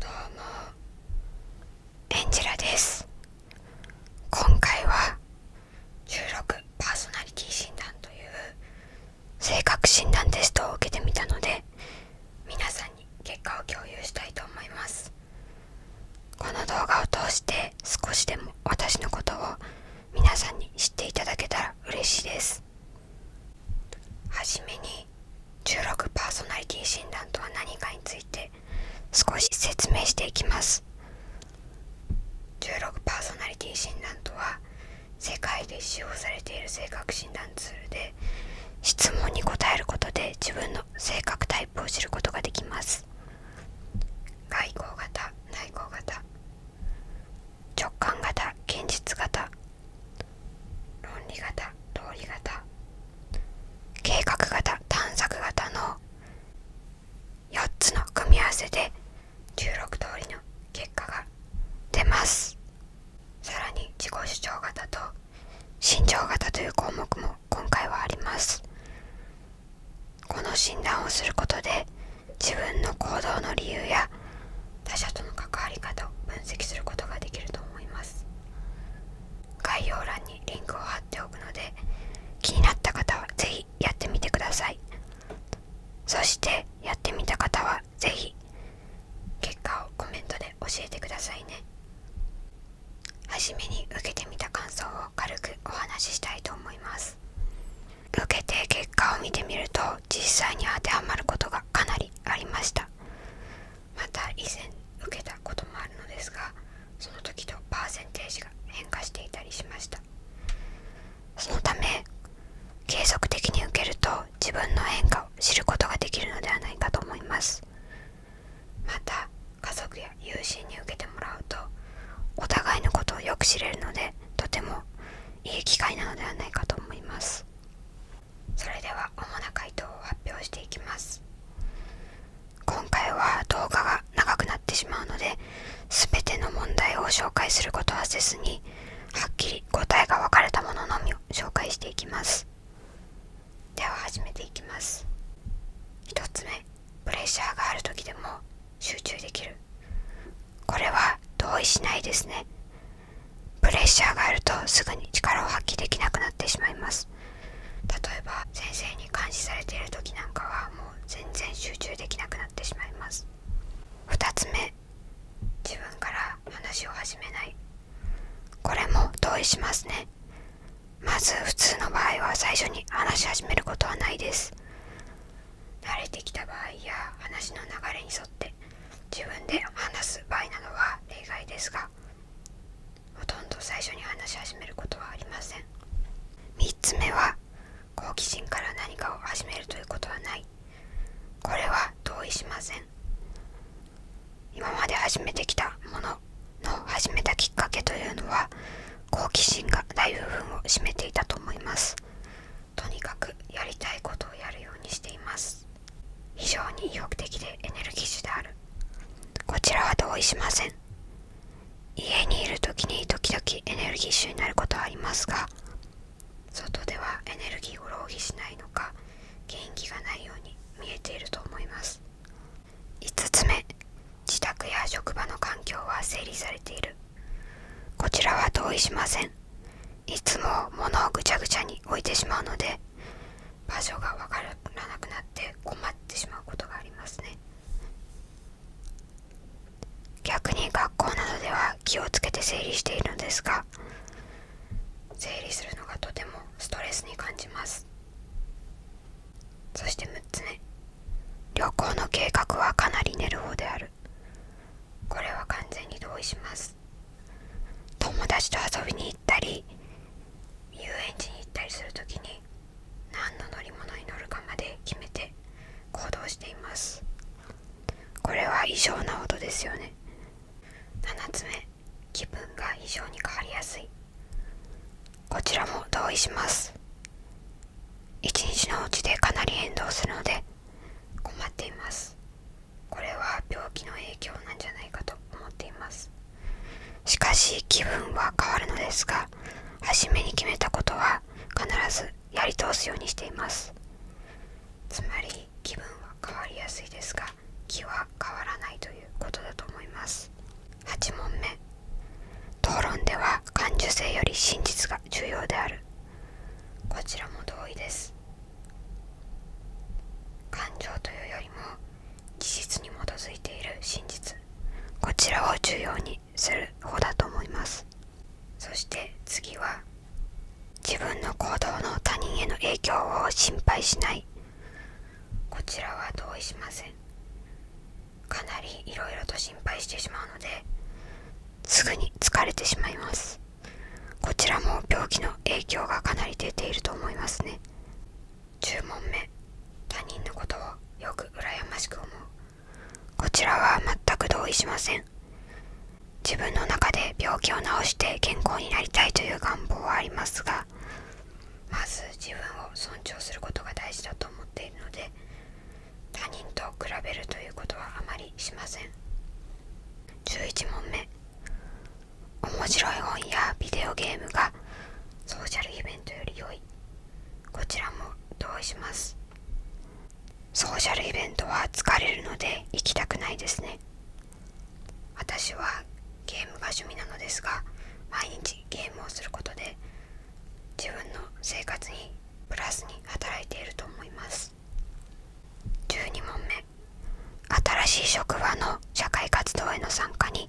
どうもエンジェラです今回は16パーソナリティ診断という性格診断テストを受けてみたので皆さんに結果を共有したいと思いますこの動画を通して少しでも私のことを皆さんに知っていただけたら嬉しいですはじめに16パーソナリティ診断とは何かについて少し説明していきます16パーソナリティ診断とは世界で使用されている性格診断ツールで質問に答えることで自分の性格タイプを知ることができます外交型内向型直感型現実型論理型通り型計画型探索型の4つの組み合わせで16通りの結果が出ますさらに自己主張型と慎重型という項目も今回はありますこの診断をすることで自分の行動の理由や他者との関わり方を分析することができると思います概要欄にリンクを貼っておくので気になった方は是非やってみてくださいそしてやってみた方は是非結果をコメントで教えてくださいね初めに受けてみた感想を軽くお話ししたいと思います受けて結果を見てみると実際に当てはまることがかなりありましたまた以前受けたこともあるのですがその時とパーセンテージが変化していたりしましたそのため継続的に受けると自分の変化を知ることができるのではないかと思いますまた家族や友人に受けてもらうとお互いのことをよく知れるのでとてもいい機会なのではないかと思いますそれでは主な回答を発表していきます今回は動画が長くなってしまうので全ての問題を紹介することはせずにはっきり答えが分かれたもののみを紹介していきますでは始めていきます1つ目プレッシャーがある時でも集中できるこれは同意しないですねプレッシャーがあるとすぐに力を発揮できなくなってしまいます例えば先生に監視されている時なんかはもう全然集中できなくなってしまいます2つ目自分から話を始めないこれも同意しますねまず普通の場合は最初に話し始めることはないです慣れてきた場合や話の流れに沿って自分で話す場合などは例外ですがほとんど最初に話し始めることはありません3つ目は好奇心から何かを始めるということはないこれは同意しません今まで始めてきたものの始めたきっかけというのは好奇心が大部分を占めていたと思いますとにかくやりたいことをやるようにしています非常に意欲的でエネルギッシュであるこちらは同意しません家にいる時に時々エネルギッシュになることはありますが外ではエネルギーを浪費しないのか元気がないように見えていると思います5つ目自宅や職場の環境は整理されているこちらは同意しませんいつも物をぐちゃぐちゃに置いてしまうので場所が分からなくなって困ってしまうことがありますね逆に学校などでは気をつけて整理しているのですが整理するのがとてもストレスに感じますそして6つ目旅行の計画はかなり寝る方であるこれは完全に同意します友達と遊びに行ったり遊園地に行ったりする時に何の乗り物に乗るかまで決めて行動していますこれは異常な音ですよね7つ目気分が異常に変わりやすいこちらも同意します一日のうちでかなり変動するので困っていますこれは病気の影響なんじゃないかと思っていますしかし気分は変わるのですが初めに決めたことは必ずやり通すようにしていますつまり気分は変わりやすいですが気は変わらないということだと思います8問目討論では感受性より真実が重要であるこちらも同意です感情というよりも事実に基づいている真実こちらを重要にする方だと思いますそして次は自分の行動の他人への影響を心配しないこちらは同意しませんかなりいろいろと心配してしまうのですぐに疲れてしまいますこちらも病気の影響がかなり出ていると思いますね10問目他人のことをよく羨ましく思うこちらは全く同意しません自分の中で病気を治して健康になりたいという願望はありますがまず自分を尊重することが大事だと思っているので他人と比べるということはあまりしません11問目面白い本やビデオゲームがソーシャルイベントより良いこちらも同意しますソーシャルイベントは疲れるので行きたくないですね私はゲームが趣味なのですが毎日ゲームをすることで自分の生活にプラスに働いていると思います12問目新しい職場の社会活動への参加に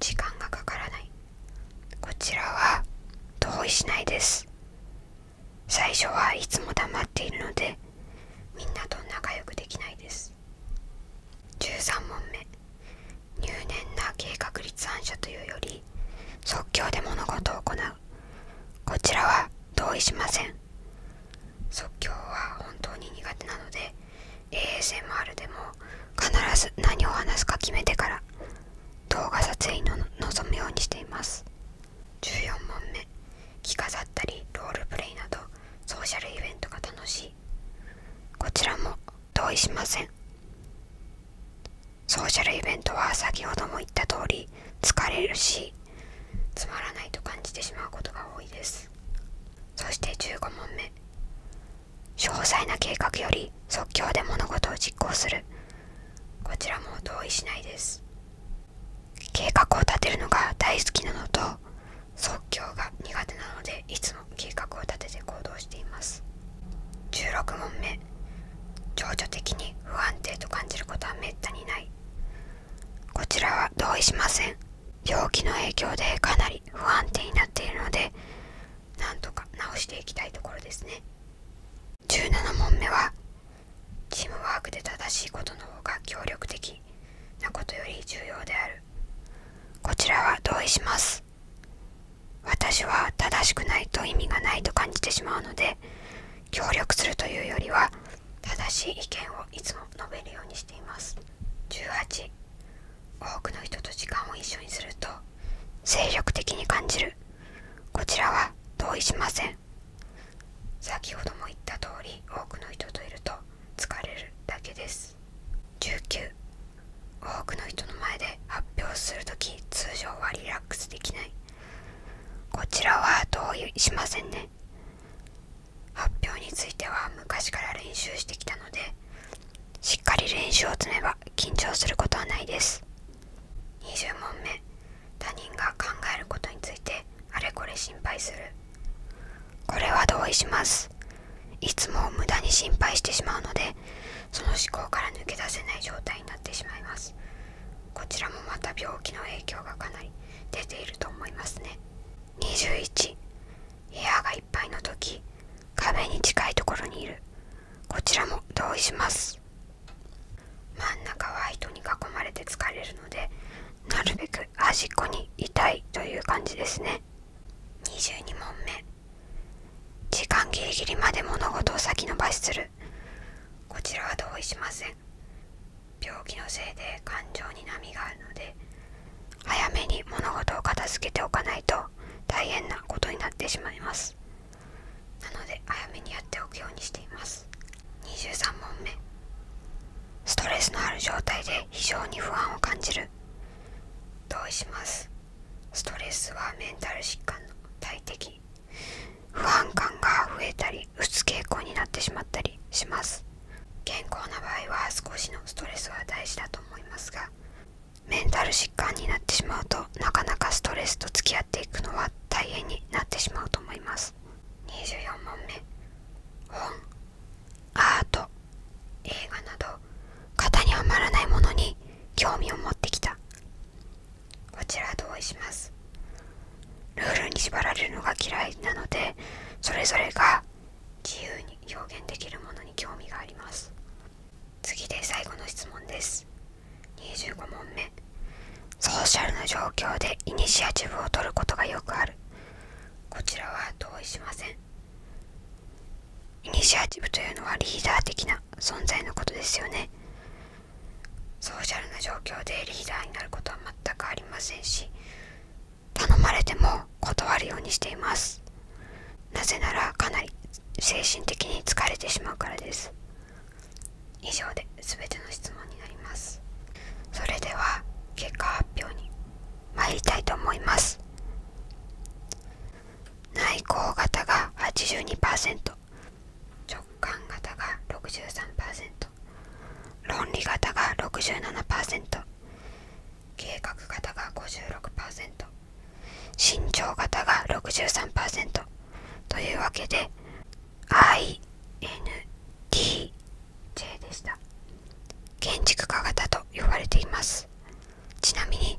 時間がかからないこちらは同意しないです最初はいつも黙っているのでみんなと仲良くできないです13問目入念な計画立案者というより即興で物事を行うこちらは同意しません即興は本当に苦手なので ASMR でも必ず何を話すか決めてから動画撮影に臨むようにしています14問目着飾ったりロールプレイなどソーシャルイベントが楽しいこちらも同意しませんソーシャルイベントは先ほども言った通り疲れるしつまらないと感じてしまうことが多いですそして15問目詳細な計画より即興で物事を実行するこちらも同意しないです計画を立てるのが大好きなのと即興が苦手なのでいつも計画を立てて行動しています16問目情緒的に不安定と感じることはめったにないこちらは同意しません病気の影響でかなり不安定になっているのでなんとか直していきたいところですね17問目はチームワークで正しいことの方が協力的なことより重要であるこちらは同意します私は正しくないと意味がないと感じてしまうので協力するというよりは正しい意見をいつも述べるようにしています18多くの人と時間を一緒にすると精力的に感じるこちらは同意しません先ほども言った通り多くの人といると疲れるだけです19多くの人の前で発表する時、通常はリラックスできないこちらは同意しませんね発表については昔から練習してきたのでしっかり練習を積めば緊張することはないです20問目他人が考えることについてあれこれ心配するこれは同意しますいつも無駄に心配してしまうのでその思考から抜け出せない状態になってしまいますこちらもまた病気の影響がかなり出ていると思いますね21部屋がいっぱいの時壁に近いところにいるこちらも同意します真ん中は糸に囲まれて疲れるのでなるべく端っこにいたいという感じですね22問目時間ギリギリまで物事を先延ばしするこちらは同意しません病気のせいで感情に波があるので早めに物事を片付けておかないと大変なことになってしまいますなので早めにやっておくようにしています23問目ストレスのある状態で非常に不安を感じる同意しますストレスはメンタル疾患の大敵不安感が増えたりにつ傾向になってしまったりします健康な場合は少しのストレスは大事だと思いますがメンタル疾患になってしまうとなかなかストレスと付き合っていくのは大変になってしまうと思います24問目本アート映画など型にはまらないものに興味を持ってきたこちら同意しますルールに縛られるのが嫌いなのでそれぞれが自由に表現できるものに興味があります次で最後の質問です25問目ソーシャルな状況でイニシアチブを取ることがよくあるこちらは同意しませんイニシアチブというのはリーダー的な存在のことですよねソーシャルな状況でリーダーになることは全くありませんし頼まれても断るようにしていますなぜならかなり精神的に疲れてしまうからです以上で全ての質問になりますそれでは結果発表に参りたいと思います内向型が82%直感型が63%論理型が67%計画型が56%身長型が63%というわけで INTJ でした建築家型と呼ばれていますちなみに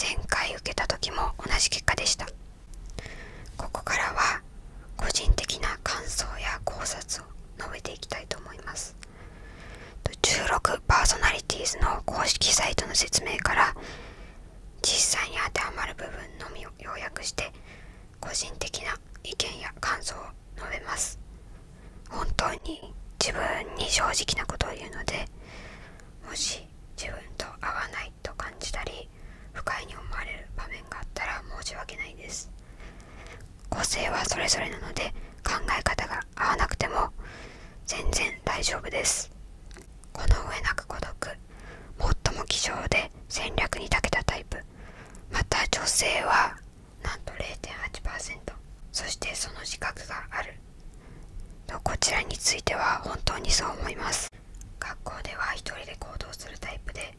前回受けた時も同じ結果でしたここからは個人的な感想や考察を述べていきたいと思います16パーソナリティーズの公式サイトの説明から実際に当てはまる部分のみを要約して個人的な意見や感想を述べます本当に自分に正直なことを言うのでもし自分と合わないと感じたり不快に思われる場面があったら申し訳ないです個性はそれぞれなので考え方が合わなくても全然大丈夫ですこの上なく孤独最も希少で戦略に長けたタイプまた女性はなんと0.8%そしてその自覚があるとこちらについては本当にそう思います学校では一人で行動するタイプで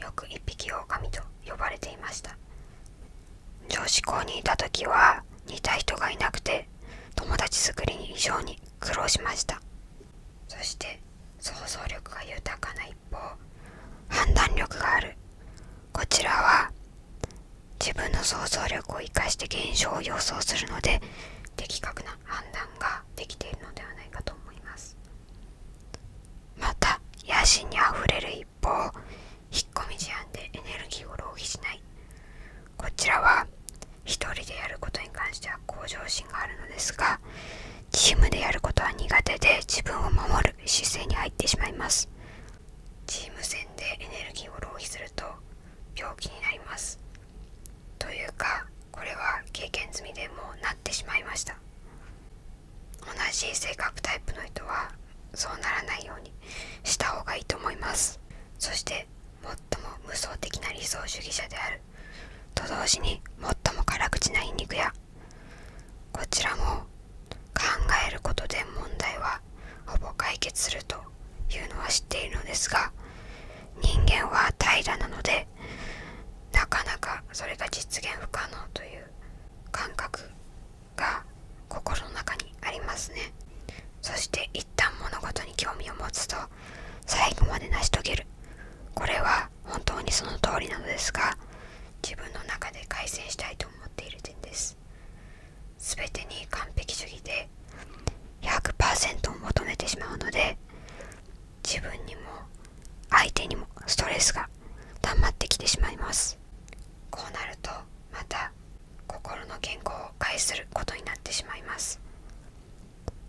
よく一匹狼と呼ばれていました女子校にいた時は似た人がいなくて友達作りに異常に苦労しましたそして想像力が豊かな一方判断力があるこちらは自分の想像力を生かして現象を予想するので的確な判断ができているのではないかと思いますまた野心にあふれる一方引っ込み思案でエネルギーを浪費しないこちらは一人でやることに関しては向上心があるのですがチームでやることは苦手で自分を守る姿勢に入ってしまいますチーム戦でエネルギーを浪費すると病気になりますというかこれは経験済みでもうなってしまいました同じ性格タイプの人はそうならないようにした方がいいと思いますそして最も無双的な理想主義者であると同時に最も辛口な皮肉やこちらも考えることで問題はほぼ解決するというのは知っているのですが人間は平らなのでなかなかそれが実現不可能という感覚が心の中にありますねそして一旦物事に興味を持つと最後まで成し遂げるこれは本当にその通りなのですが自分の中で改善したいと思っている点です全てに完璧主義で100%を求めてしまうので自分にも相手にもストレスが溜ってきてしまいますこうなるとまた心の健康を害することになってしまいます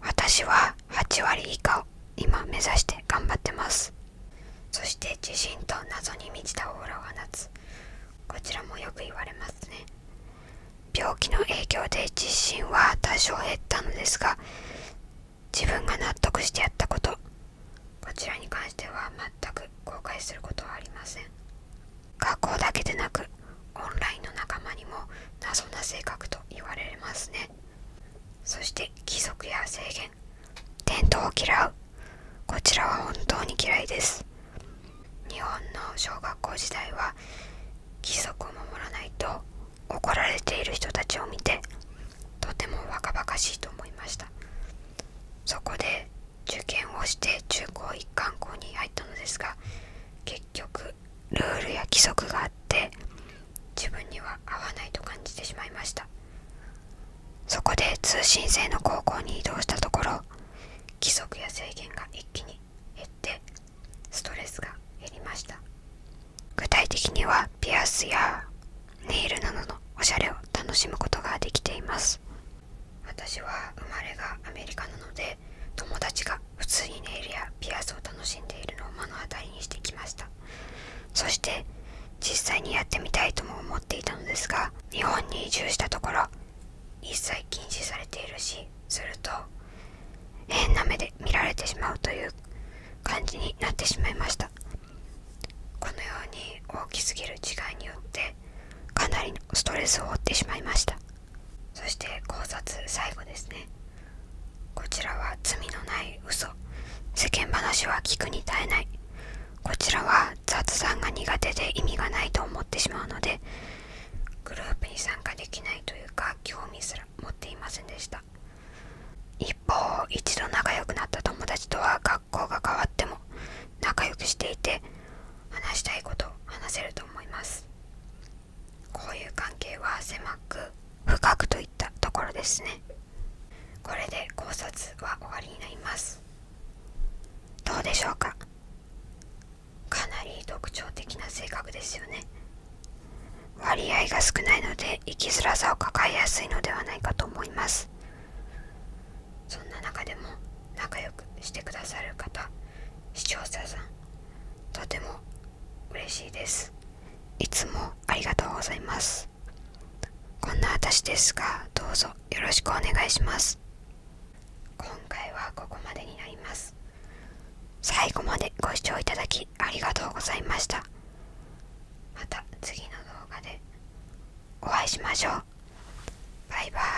私は8割以下を今目指して頑張ってますそして自信と謎に満ちたオーラを夏こちらもよく言われますね病気の影響で自信は多少減ったのですが自分が納得してやったことこちらに関しては全く後悔することはありません学校だけでなくオンラインの仲間にも謎な性格と言われますねそして規則や制限伝統を嫌うこちらは本当に嫌いです日本の小学校時代は規則を守らないと怒られている人たちを見てとても若々しいと思いましたそこで受験をして中高一貫校に入ったのですが結局ルールや規則があって自分には合わないと感じてしまいましたそこで通信制の高校に移動したところ規則や制限が一気に減ってストレスが減りました具体的にはピアスやネイルなどのおしゃれを楽しむことができています私は生まれがアメリカなので友達が普通にネイルやピアスを楽しんでいるのを目の当たりにしてきましたそして実際にやってみたいとも思っていたのですが日本に移住したところ一切禁止されているしすると変な目で見られてしまうという感じになってしまいましたこのように大きすぎる違いによってかなりのストレスを負ってしまいましたそして考察最後ですねこちらは罪のない嘘世間話は聞くに堪えないこちらは雑談が苦手で意味がないと思ってしまうのでグループに参加できないというか興味すら持っていませんでした一方一度仲良くなった友達とは学校が変わっても仲良くしていて話したいこと話せると思いますこういう関係は狭く深くといったところですねこれで考察は終わりになりますどうでしょうかかなり特徴的な性格ですよね割合が少ないので生きづらさを抱えやすいのではないかと思いますそんな中でも仲良くしてくださる方視聴者さんとても嬉しいですいつもありがとうございますこんな私ですがどうぞよろしくお願いします今回はここまでになります最後までご視聴いただきありがとうございましたまた次の動画でお会いしましょうバイバーイ